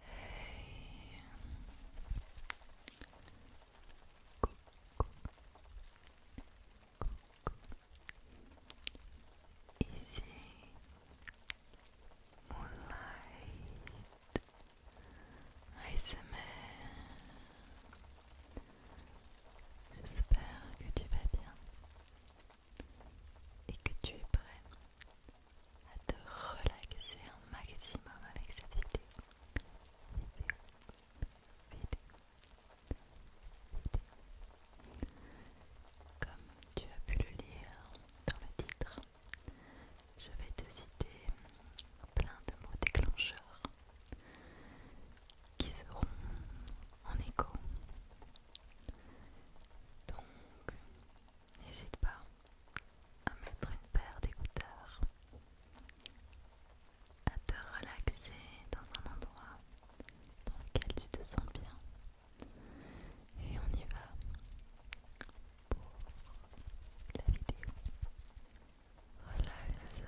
Hey. Ici Moonlight J'espère que tu vas bien et que tu es prêt à te relaxer un maximum avec cette vidéo. Comme tu as pu le lire dans le titre, je vais te citer plein de mots déclencheurs qui seront en écho. Donc, n'hésite pas à mettre une paire d'écouteurs, à te relaxer dans un endroit dans lequel tu te sens bien. Et on y va pour la vidéo. Relaxation.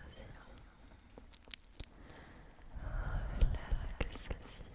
Relaxation.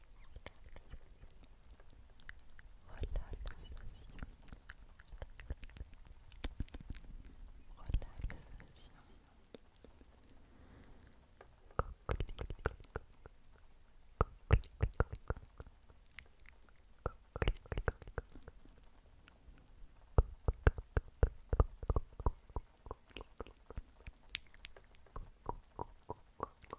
Voilà relaxation, Coco,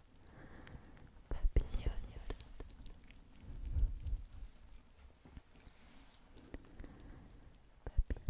papillote papillote Papillon,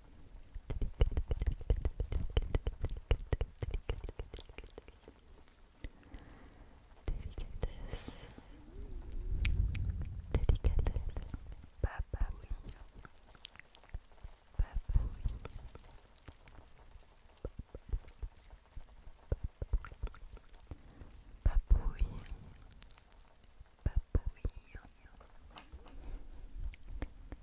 Délicatesse. Délicatesse.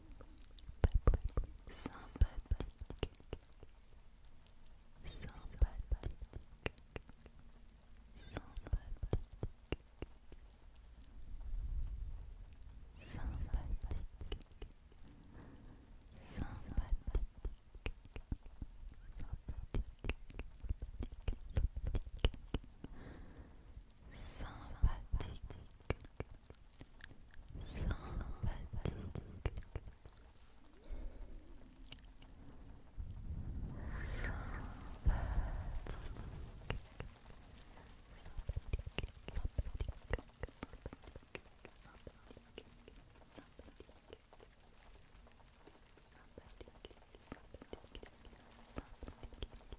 sympathique, sympathique, sympathique, sympathique,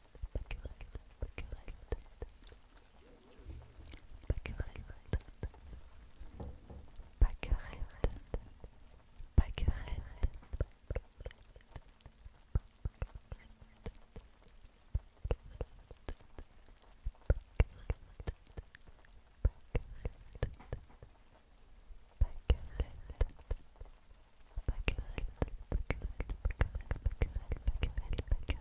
correct pas querelle, pas pas pas pas pas pas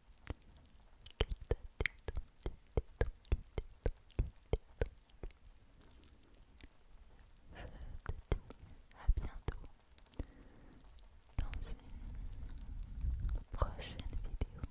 à bientôt dans une prochaine vidéo